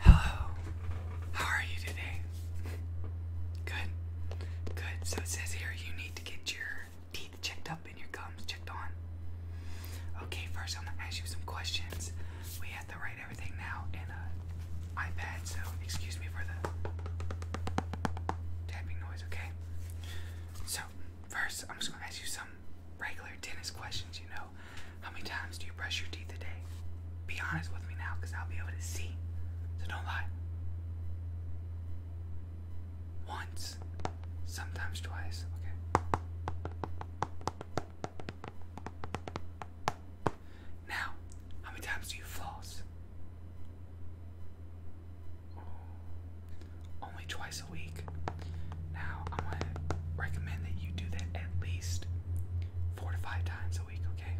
Hello. How are you today? Good. Good. So it says here you need to get your teeth checked up and your gums checked on. Okay, first I'm gonna ask you some questions. We have to write everything now in an iPad, so excuse me for the tapping noise, okay? So, first I'm just gonna ask you some um, regular dentist questions, you know. How many times do you brush your teeth a day? Be honest with me now, because I'll be able to see. So don't lie. Once, sometimes twice, okay? Now, how many times do you floss? only twice a week. Now, I'm going to recommend that you do that at least four to five times a week, okay?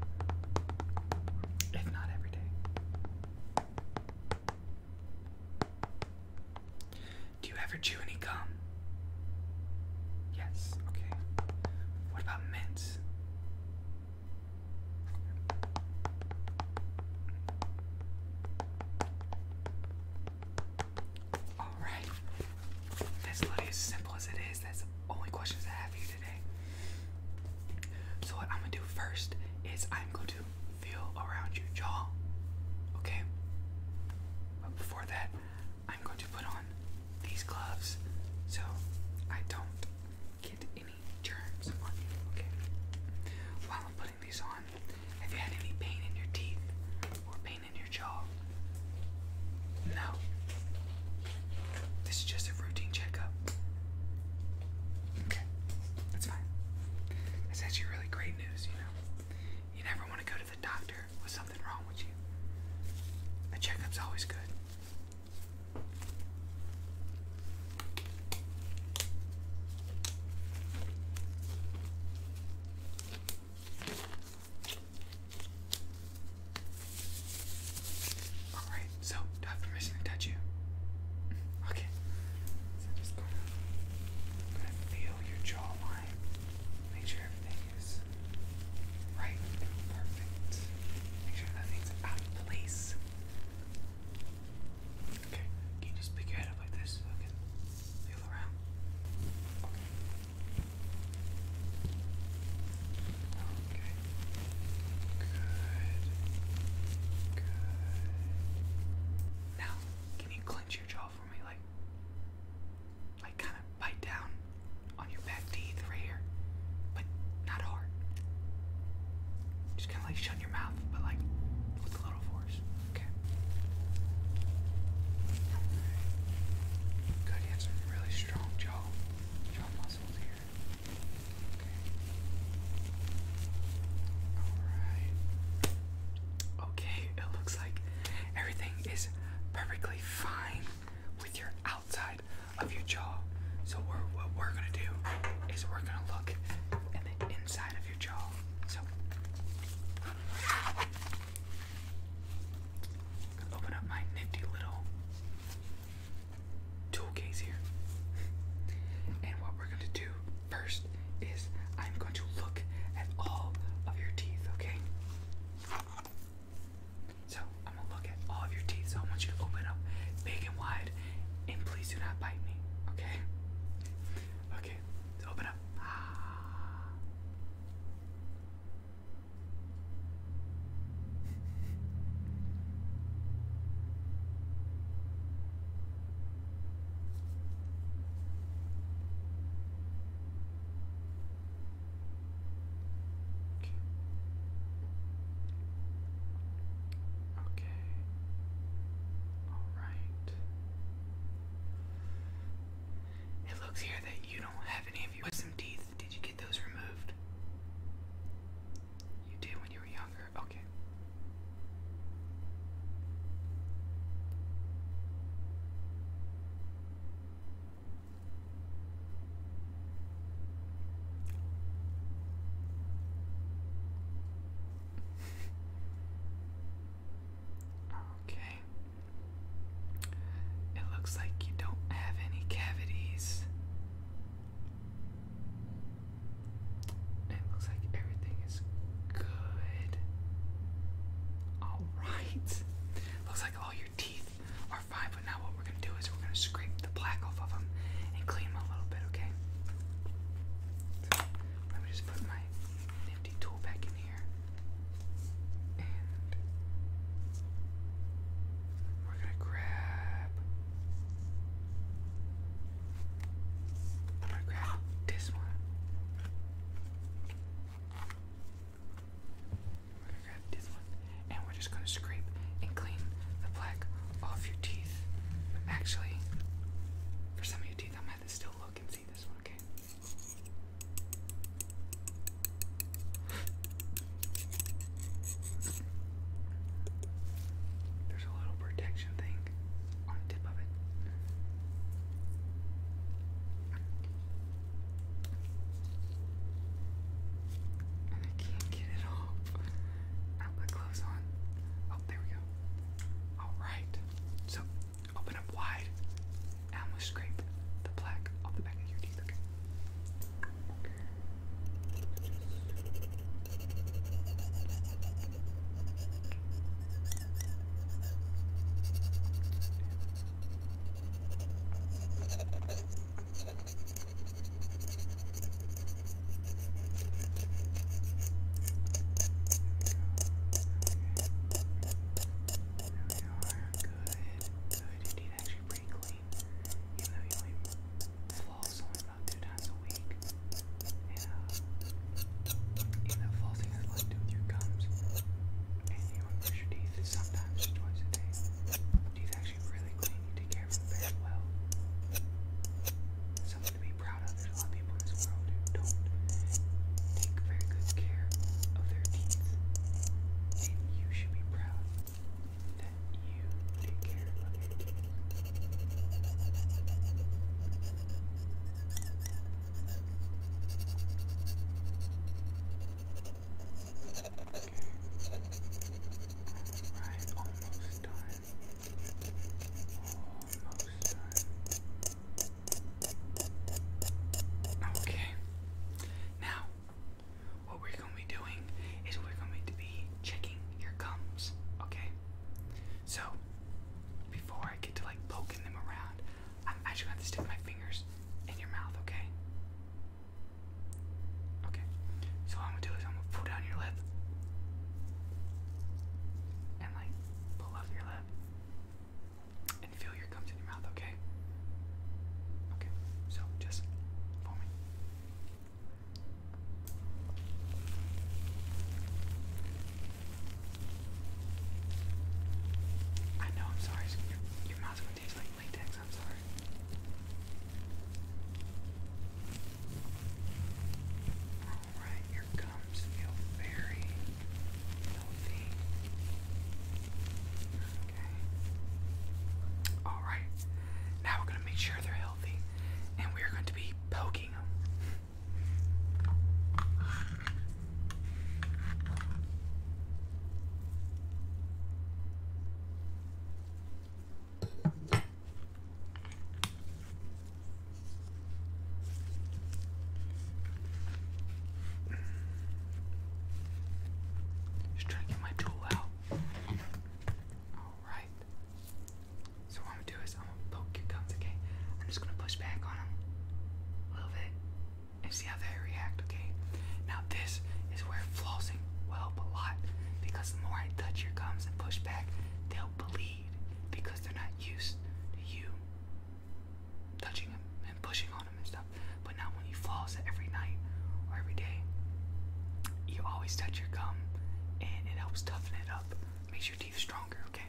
If not every day. Do you ever chew any gum? Yes, okay. What about mints? Alright. That's literally as simple as it is. That's the only questions I have for you today. So what I'm gonna do first is I'm going to feel around your jaw. Okay? But before that, I'm going to put on these gloves so I don't get any germs on you. Okay? While I'm putting these on. Have you had any pain in your teeth or pain in your jaw? No. This is just a routine checkup. Okay, that's fine. That's actually really great news, you know. You never want to go to the doctor with something wrong with you. A checkup's always good. All right, so do I have permission to touch you? Mm-hmm, okay. So just going gonna feel your jawline. Make sure everything is right perfect. Make sure nothing's out of place. Okay, can you just pick your head up like this so I can feel around? Okay. Okay. Good. Good. Now, can you clench your jaw for me, like, like kind of bite down on your back teeth right here, but not hard. Just kind of like shut your mouth, but like with a little force. Okay. Good, you have really strong jaw jaw muscles here. Okay. Alright. Okay, it looks like everything is perfectly fine with your outside of your jaw. So what we're gonna do is we're gonna look in the inside of your jaw. So open up my nifty little tool case here. And what we're gonna do first is I'm going to look at all of your teeth, okay? So I'm gonna look all of your teeth, so I want you to open up big and wide, and please do not bite me, okay? Okay, open up. Okay. Okay. Alright. It looks here that you don't have any of your wisdom teeth. Did you get those removed? You did when you were younger. Okay. Okay. It looks like you don't have any cavities. It looks like everything is good. Alright. Looks like all your teeth are fine, but now what we're gonna do is we're gonna scrape the black off of them and clean them a little bit, okay? let me just put my nifty tool back in here. And we're gonna grab I'm gonna grab this one. We're gonna grab this one, and we're just gonna scrape and clean the plaque off your teeth. Actually, for some of your teeth, I might have to still look and see this one, okay? There's a little protection thing on the tip of it. And I can't get it off. Now my clothes on. Oh, there we go. Alright. So, open up wide. Now i scrape the plaque off the back of your teeth, okay? Good. Good. Indeed, actually pretty clean. Even though you only floss only about two times a week. And even though flossing has a lot do with your gums. And you brush your teeth sometimes twice a day. Teeth actually actually really clean. You care of it very well. Something to be proud of. There's a lot of people in this world don't take very good care of their teeth. And you should be proud that you take care of your Right, almost done. Almost done. Okay. Now, what we're going to be doing is we're going to be checking your gums, okay? So, before I get to like poking them around, I'm actually going to stick my fingers in your mouth, okay? Okay, so what I'm gonna do is I'm gonna pull down your lip and like pull up your lip and feel your gums in your mouth, okay? Okay, so just for me. I know, I'm sorry, your mouth's gonna taste like latex, I'm sorry. Alright, your gums feel very healthy. Okay. Alright, now we're going to make sure they're healthy and we're going to be poking them. Just trying to get my tool out. Alright. So what I'm gonna do is I'm gonna poke your gums, okay? I'm just gonna push back on them a little bit and see how they react, okay? Now this is where flossing will help a lot because the more I touch your gums and push back, they'll bleed because they're not used to you touching them and pushing on them and stuff. But now when you floss every night or every day, you always touch your gum and it helps toughen it up, makes your teeth stronger, okay?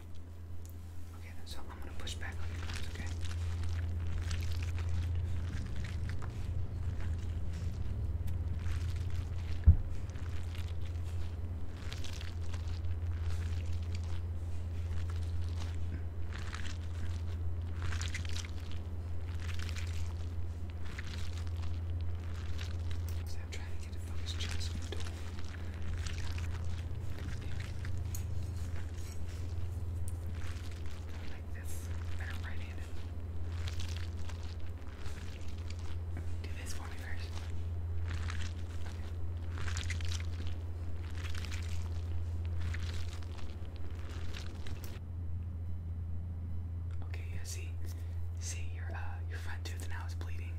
Okay, so I'm gonna push back on your gloves, okay? So trying to get a focus just on the door. There. Okay. Okay, yeah, see, see your uh your front tooth now is bleeding.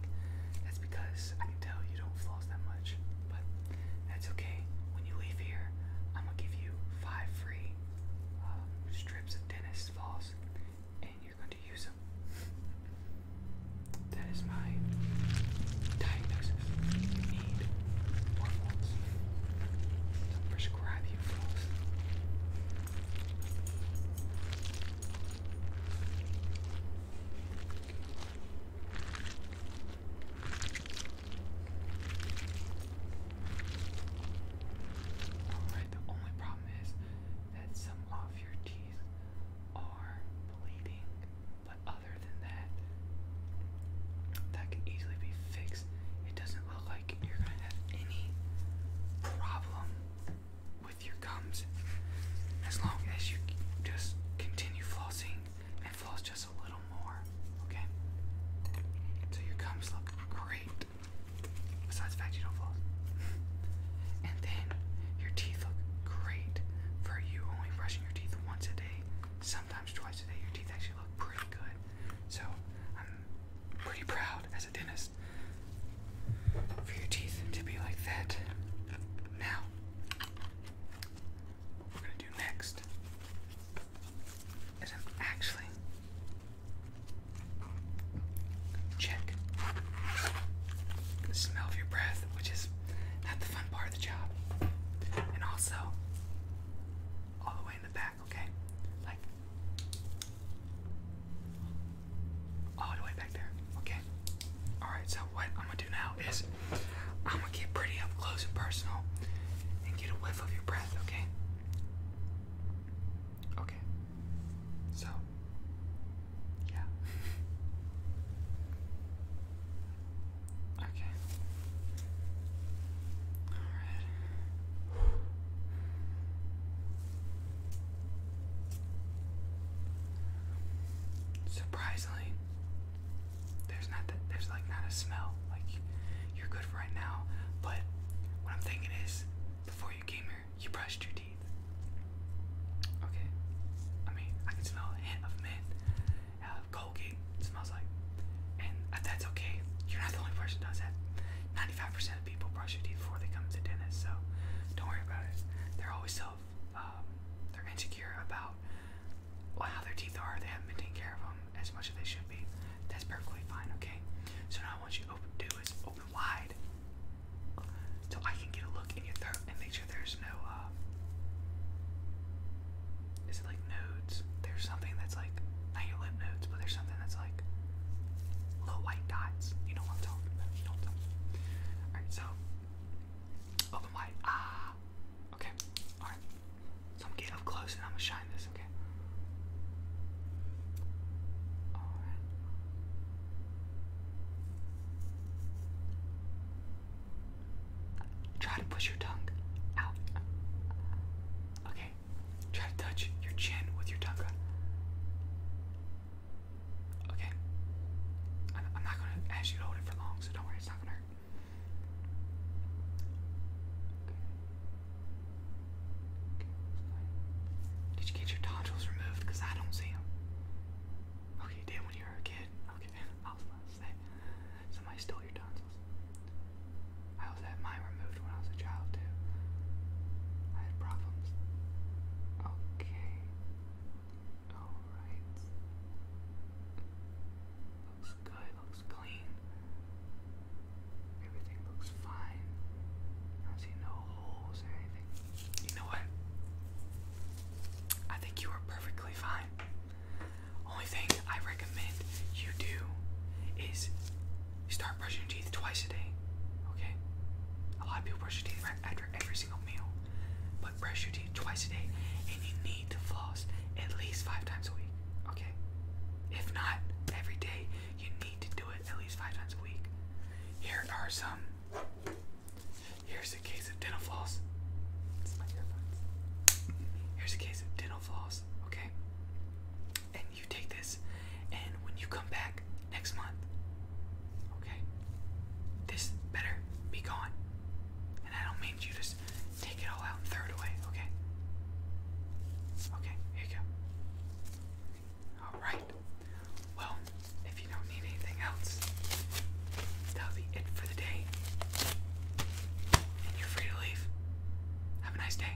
That's because because I can tell you don't floss that much. But that's okay. When you leave here, I'm gonna give you five free um, strips of dentist floss, and you're going to use them. that is my diagnosis. You need more floss. So prescribe you floss. Alright, the only problem is that some of your teeth are bleeding, but other than that, that can easily be fixed. It doesn't look like you're gonna have any problem. With your gums as long as you just continue flossing and floss just a little more, okay? So your gums look great. Besides the you don't floss. and then your teeth look great for you only brushing your teeth once a day, sometimes twice a day. Your teeth actually look pretty good. So I'm pretty proud as a dentist for your teeth to be like that. Now, we're gonna do next is actually check the smell of your breath, which is not the fun part of the job. And also all the way in the back, okay? Like all the way back there. Okay. All right. So what I'm gonna do now is I'm gonna get pretty up close and personal and get a whiff of your breath. Okay. Okay. So. Yeah. okay. All right. Surprisingly, there's not that there's like not a smell. Like you're good for right now, but what I'm thinking is before you came here, you brushed your teeth. Okay, I mean I can smell a hint of mint. Uh, Colgate smells like, and that's okay. You're not the only person does that. 95% of people brush their teeth before they come to dentist, so don't worry about it. They're always so um, they're insecure about how their teeth are. They haven't been taking care of them as much as they should be. That's perfectly fine, okay? So now what you open, do is open wide so I can get a look in your throat and make sure there's no, uh, is it like nodes? There's something that's like, not your lip nodes, but there's something that's like little white dots. You know what I'm talking about. You know what i Alright, so open wide. Ah okay. Alright. So I'm getting up close and I'm gonna shine this, okay? Alright. Try to push your tongue out. Okay. Try to touch your chin with your tongue. Okay. I'm, not gonna ask you to hold it for long, so don't worry, it's not gonna hurt. Okay. Did you get your tonsils removed? Because I don't see them. Okay, did when you were a kid. Okay, I will say. Somebody stole your tonsils. I was had mine removed when I was child too. I had problems. Okay. Alright. Looks good, looks clean. Everything looks fine. don't see no holes or anything. You know what? I think you are perfectly fine. Only thing I recommend you do is you start brushing your teeth twice a day, okay? A lot of people brush your teeth right after every single meal, but brush your teeth twice a day, and you need to floss at least five times a week, okay? If not every day, you need to do it at least five times a week. Here are some. Here's a case of dental floss. Here's a case of dental floss, okay? you take this, and when you come back next month, okay, this better be gone. And I don't mean you just take it all out and throw it away, okay? Okay, here you go. Alright. Well, if you don't need anything else, that'll be it for the day. And you're free to leave. Have a nice day.